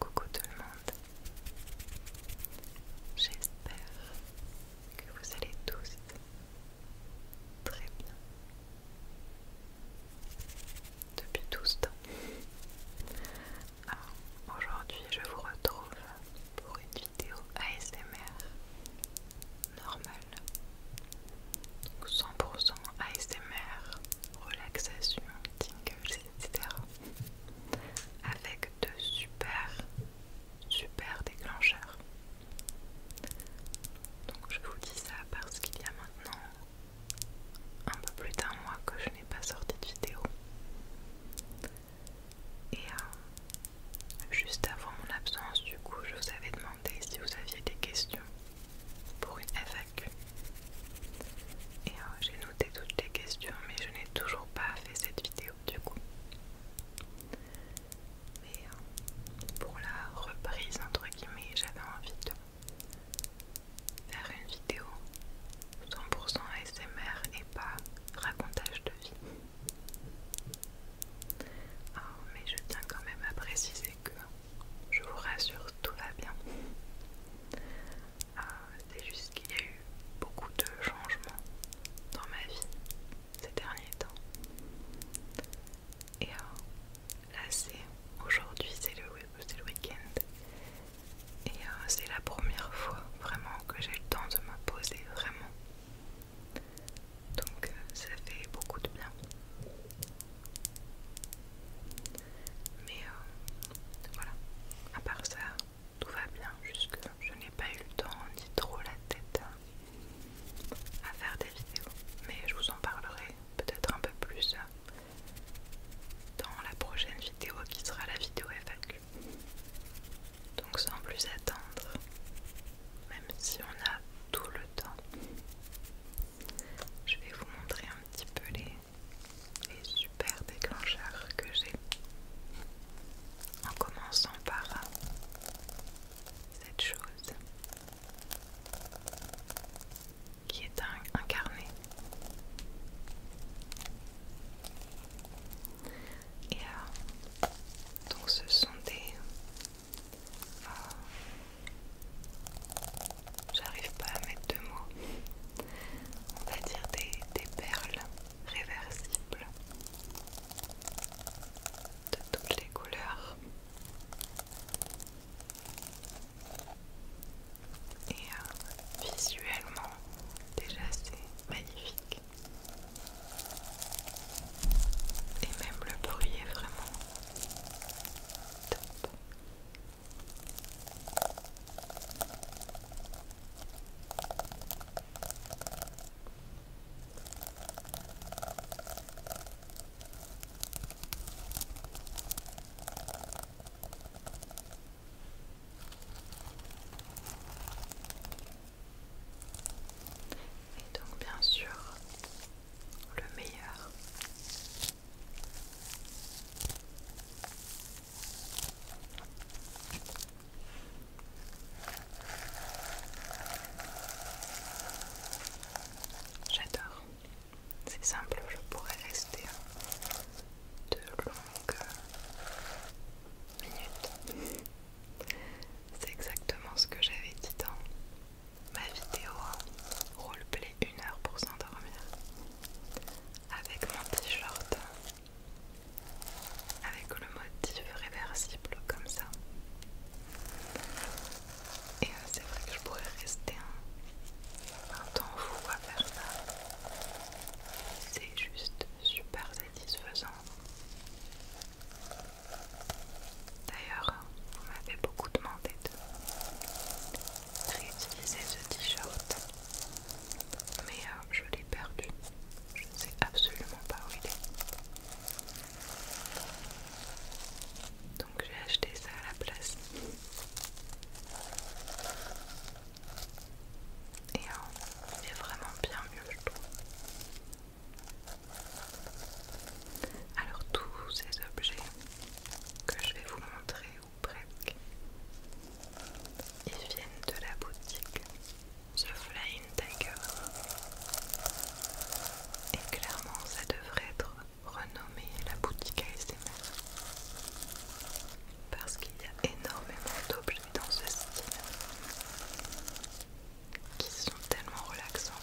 Coucou tout le monde, j'espère que vous allez tous très bien depuis tout ce temps. Aujourd'hui je vous retrouve pour une vidéo ASMR normal. Donc 100% ASMR, relaxation, tingles, etc. Avec de super, super déclencheurs. Donc je vous dis ça parce qu'il y a maintenant un peu plus d'un mois que je n'ai pas sorti de vidéo. Et euh, juste avant mon absence, du coup, je vous avais demandé si vous aviez des questions pour une FAQ. Et euh, j'ai noté toutes les questions, mais je n'ai toujours pas fait cette vidéo du coup. Mais euh, pour la reprise, entre guillemets, j'avais envie de faire une vidéo 100% ASMR et pas racontage de vie. Ah, mais je tiens quand même à préciser que je vous rassure, tout va bien. Ah, c'est juste qu'il y a eu beaucoup de changements dans ma vie ces derniers temps. Et ah, là, c'est aujourd'hui, c'est le, week-end. Et ah, c'est la première fois vraiment que j'ai le temps de me poser vraiment. Donc ça fait beaucoup de bien. Mais euh, voilà, à part ça, tout va bien, jusque je n'ai pas eu le temps ni trop la tête à faire des vidéos. Mais je vous en parlerai peut-être un peu plus dans la prochaine vidéo qui sera la vidéo FAQ. Donc sans plus attendre, même si on a tout le temps, je vais vous montrer un petit peu les, super déclencheurs que j'ai. En commençant par euh, cette chose qui est incarnée. Et euh, donc ce sont des J'arrive pas à mettre de mots. On va dire des, perles réversibles de toutes les couleurs. Et euh, visuellement, déjà c'est magnifique. Et même le bruit est vraiment et donc bien sûr, le meilleur. J'adore. C'est simple, je pourrais rester de longues minutes. C'est exactement ce que j'avais dit dans ma vidéo roleplay une heure pour s'endormir avec mon t-shirt avec le motif réversible comme ça et euh, c'est vrai que je pourrais rester un, un temps fou à faire ça c'est juste super satisfaisant D'ailleurs, on m'avait beaucoup demandé de réutiliser ce t-shirt, mais euh, je l'ai perdu. Je ne sais absolument pas où il est. Donc j'ai acheté ça à la place. Et euh, il est vraiment bien mieux, je trouve. Alors tous ces objets que je vais vous montrer ou presque, ils viennent de la boutique The Flying Tiger. Et clairement ça devrait être renommé la boutique ASMR. Parce qu'il y a énormément d'objets dans ce style qui sont tellement relaxants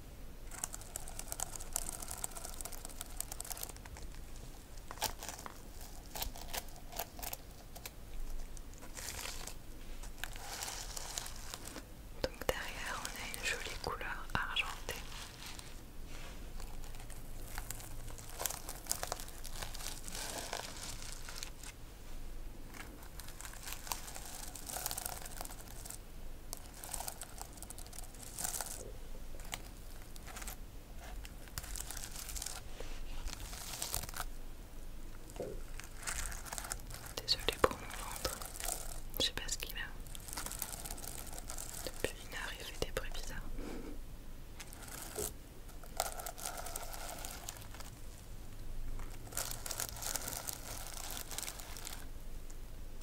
Donc derrière, on a une jolie couleur argentée. Désolée pour mon ventre, je sais pas ce qu'il a. Depuis une heure, il fait des bruits bizarres.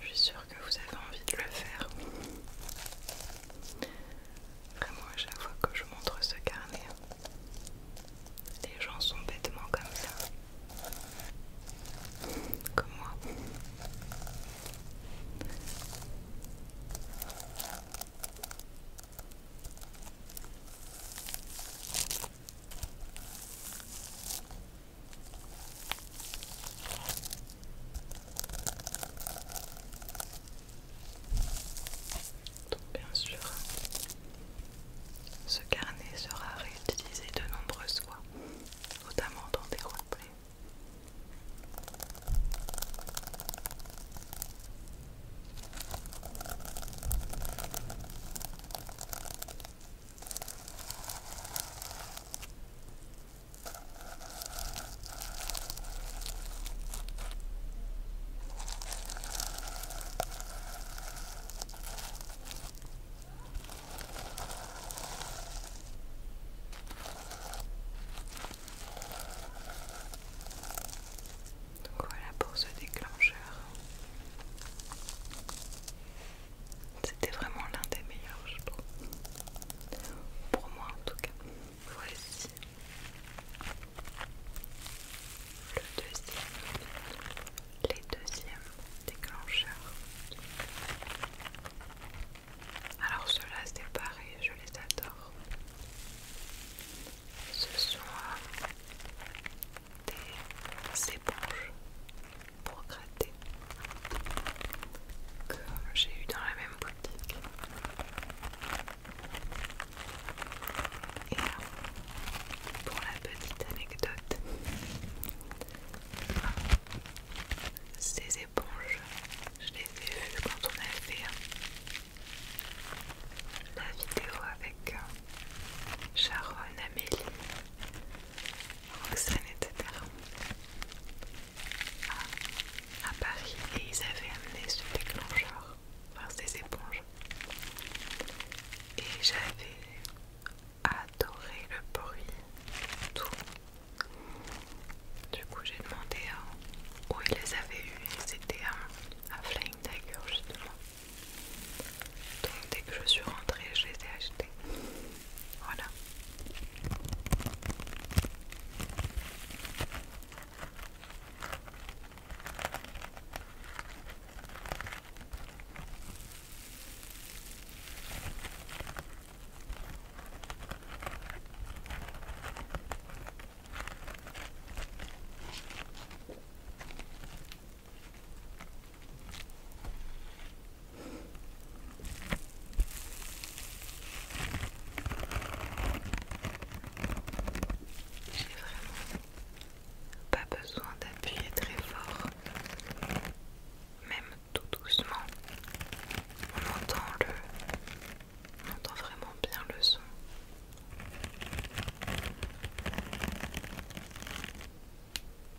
Je suis sûre que vous avez envie de le faire. Vraiment, à chaque fois que je montre ce carnet, les gens sont bêtement comme ça. Comme moi bien sûr, ce carnet sera réutilisé de nombreuses fois, notamment dans des road donc voilà pour ce déclencheur. C'était vraiment l'un des meilleurs, je trouve. Pour moi, en tout cas. Voici le deuxième, les deuxièmes déclencheurs. Alors ceux-là, c'est pareil, je les adore. Ce sont euh, des éponges pour gratter que j'ai eu dans la même boutique. Et pour la petite anecdote, ces éponges, je les ai vues quand on a fait hein, la vidéo avec euh, Sharon, Amélie Roxanne, etc. À, Paris et ils avaient amené ce déclencheur, enfin ces éponges. Et j'avais adoré le bruit, tout. Du coup, j'ai demandé où ils les avaient eus et c'était à, à Flying Tiger justement dès que je suis rentrée, je les ai achetés. Voilà. J'ai vraiment pas besoin d'appuyer très fort, même tout doucement. On entend le, on entend vraiment bien le son.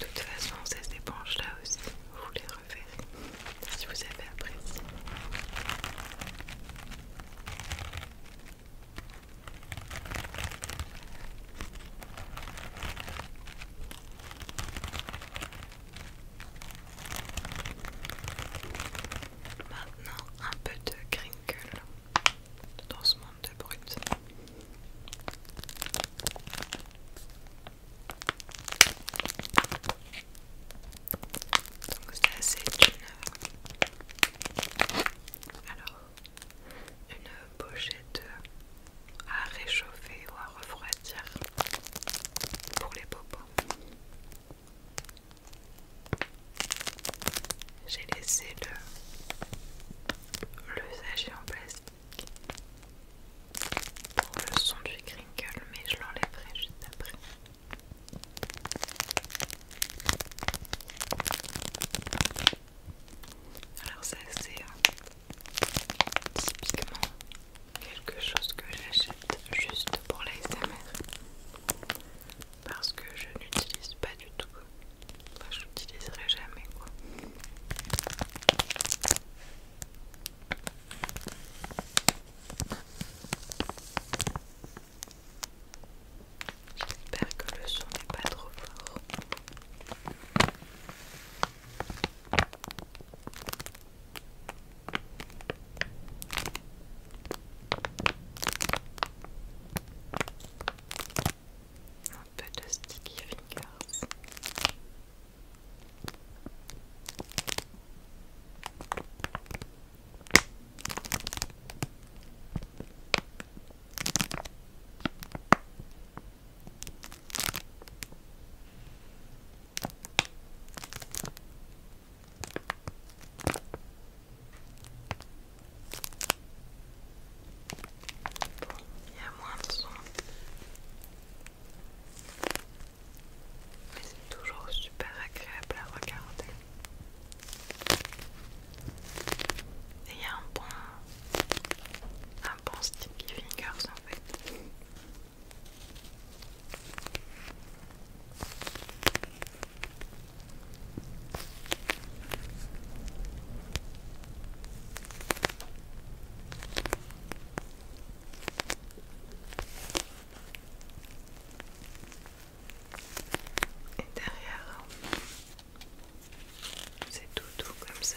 De toute façon, ces éponges là aussi, vous les reverrez si vous avez apprécié. Maintenant un peu de crinkle dans ce monde de brut. Donc ça c'est une alors une pochette à réchauffer ou à refroidir pour les bobos. J'ai laissé le, le sachet en plastique pour le son du crinkle, mais je l'enlèverai juste après. Alors ça c'est typiquement quelque chose que j'achète juste pour l'ASMR parce que je n'utilise pas du tout enfin, je n'utiliserai jamais quoi J'espère que le son n'est pas trop fort. Un peu de sticky fingers. Il y a moins de son, mais c'est toujours super agréable à regarder. Et il y a un bon, un bon sticky fingers en fait. Et derrière, c'est tout doux comme ça.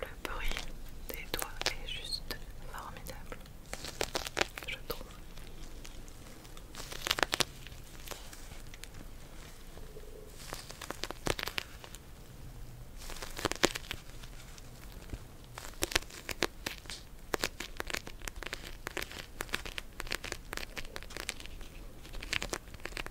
Le bruit des doigts est juste formidable, je trouve.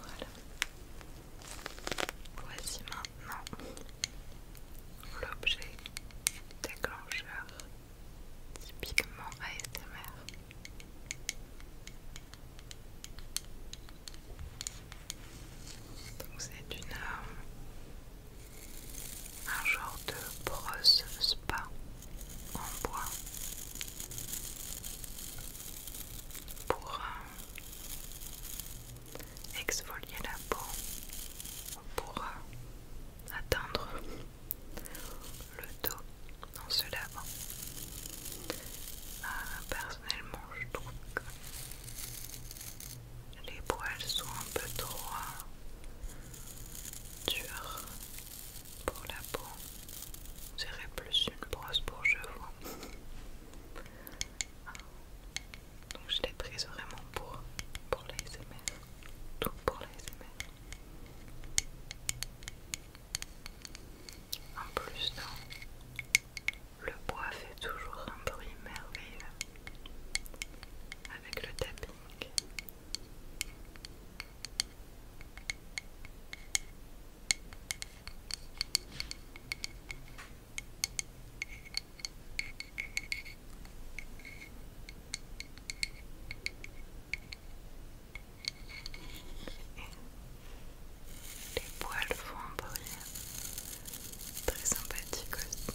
Voilà. Voici maintenant l'objet déclencheur typiquement ASMR. Donc c'est une euh, un genre de brosse spa en bois pour un... Euh, exfolier la peau pour euh, atteindre le dos dans ce lavant. Euh, personnellement, je trouve que les poils sont un peu trop euh, durs pour la peau. J'irai plus une brosse pour cheveux. Donc je l'ai prise vraiment pour, les l'ASMR. Tout pour l'ASMR. En plus, le bois fait toujours un bruit merveilleux avec le tapping. Les poils font un bruit très sympathique aussi.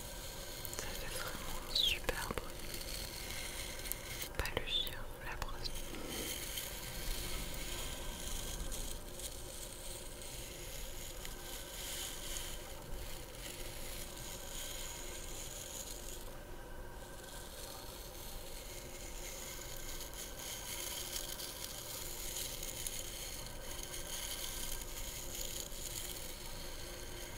Ça fait vraiment un Pas le la brosse.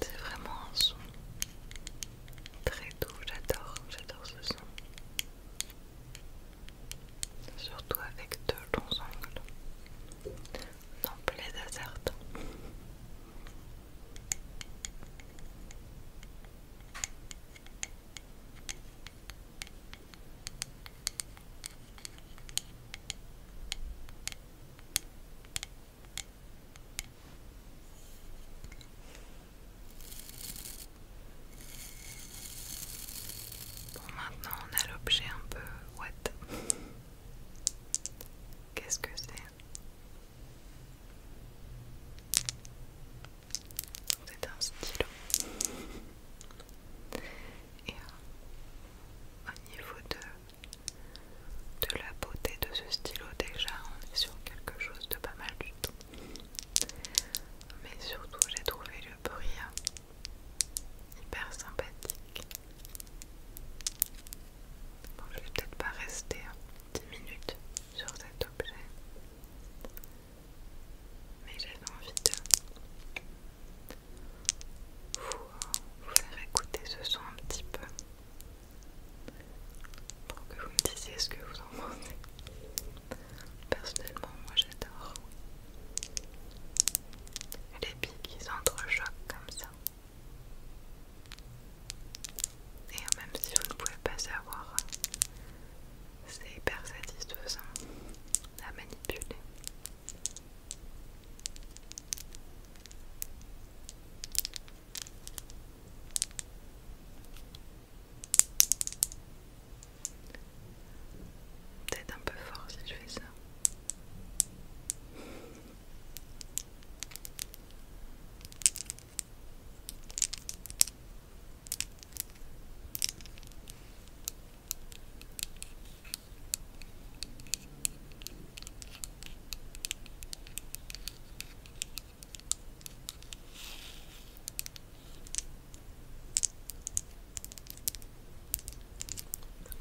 C'est vraiment un son très doux, j'adore, j'adore ce son surtout avec deux longs ongles, n'en plein Bon, maintenant on a l'objet un peu what Qu'est-ce que c'est C'est un stylo. Et euh, au niveau de, de la beauté de ce stylo, déjà on est sur quelque chose de pas mal du tout. Mais surtout j'ai trouvé le hyper sympathique. je vais peut-être pas rester 10 minutes sur cet objet, mais j'avais envie de vous, vous faire écouter ce son un petit peu pour que vous me disiez ce que vous en pensez. Personnellement, moi j'adore les billes qui s'entrechoquent comme ça. Et même si vous ne pouvez pas savoir, c'est hyper satisfaisant à manipuler. Peut-être un peu fort si je fais ça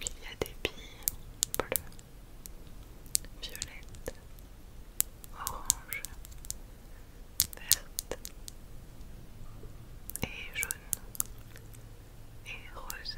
il y a des billes bleues, violettes, oranges, vertes et jaunes et roses.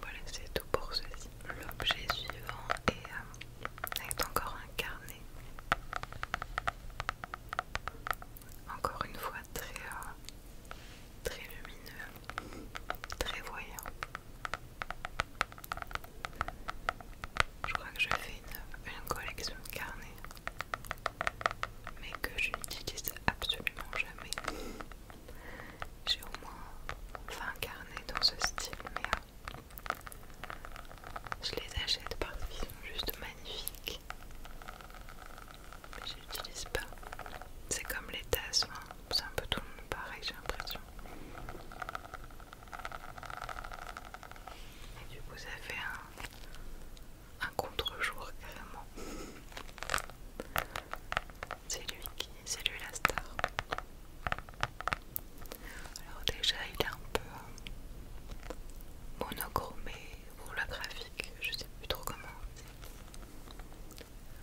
voilà, c'est tout pour ceci. L'objet suivant est, est euh, encore un carnet encore une fois très, euh, très lumineux, très voyant. Je crois que je fais une, collection de carnets, mais que je n'utilise absolument jamais. J'ai au moins 20 carnets dans ce style, mais euh, je les achète parce qu'ils sont juste magnifiques. Mais je pas. C'est comme les tasses, hein. c'est un peu tout le monde pareil, j'ai l'impression. Et du coup, ça fait un, un contre-jour carrément. C'est lui qui, c'est lui la star. Alors déjà, il est un peu monochromé, pour le graphique, je sais plus trop comment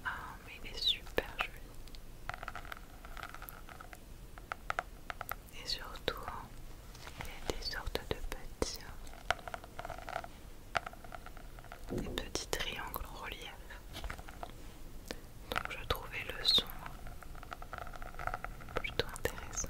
Ah, mais il est super joli. Et surtout, hein, il y a des sortes de petits, hein, des petits triangles en relief. Donc je trouvais le son plutôt intéressant.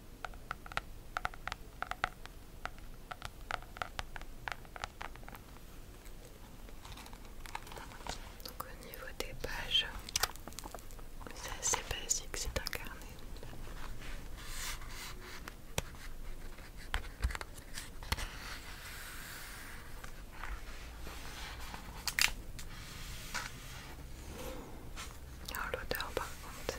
Donc au niveau des pages, c'est assez basique, c'est un carnet. Alors l'odeur par contre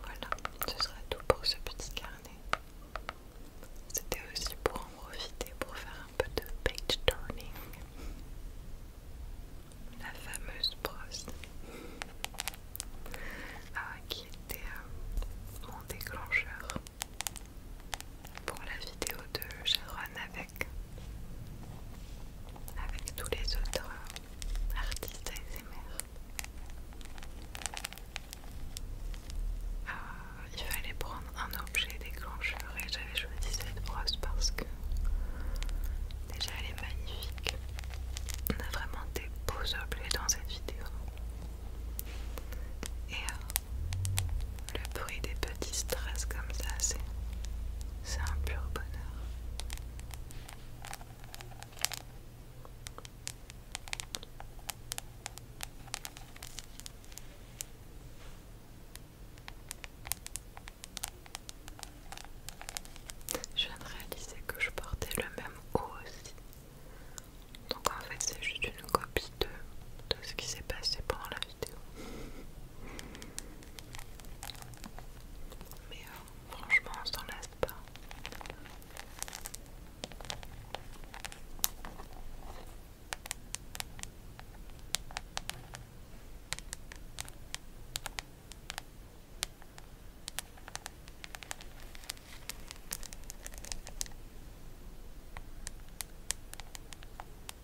Voilà, ce sera tout pour ce petit carnet. C'était aussi pour en profiter pour faire un peu de page turning. La fameuse brosse ah, qui était euh, mon déclencheur pour la vidéo de Sharon avec, tous les autres artistes ASMR. Euh, il fallait prendre un objet déclencheur et j'avais choisi cette brosse parce que déjà elle est magnifique. On a vraiment des beaux objets dans cette vidéo. Et euh, le bruit des petits stress comme ça, c'est c'est un pur bonheur. Je viens de réaliser que je portais le même haut aussi. Donc en fait c'est juste une copie de, de ce qui s'est passé pendant la vie. Mais euh, franchement, on s'en lasse pas.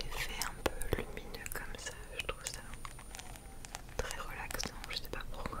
L'effet un peu lumineux comme ça, je trouve ça très relaxant, je sais pas pourquoi.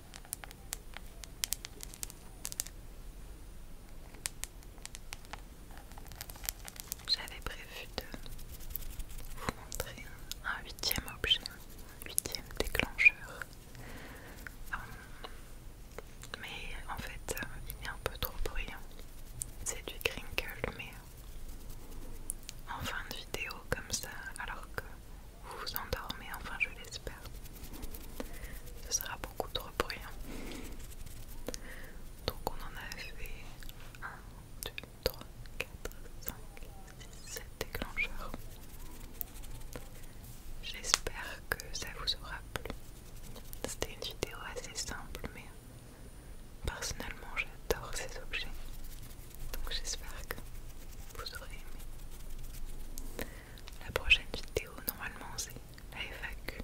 J'avais prévu de vous montrer un huitième objet, un huitième déclencheur. Hum, mais en fait, il est un peu trop bruyant. C'est du crinkle, mais en fin de vidéo comme ça, alors que vous vous endormez, enfin je l'espère. Ce sera beaucoup trop bruyant. Donc on en a fait 1, 2, 3, 4, 5, 7 déclencheurs. J'espère que ça vous aura plu. C'était une vidéo assez simple mais personnellement j'adore ces objets. Donc j'espère que vous aurez aimé. La prochaine vidéo, normalement, c'est la FAQ.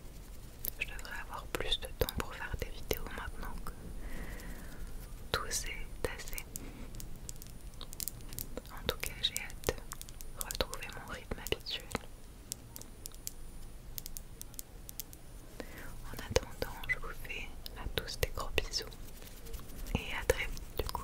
Je devrais avoir plus de temps pour faire des vidéos maintenant que tout est tassé. En tout cas, j'ai hâte de retrouver mon rythme habituel. En attendant, je vous fais à tous des gros bisous et à très vite du coup.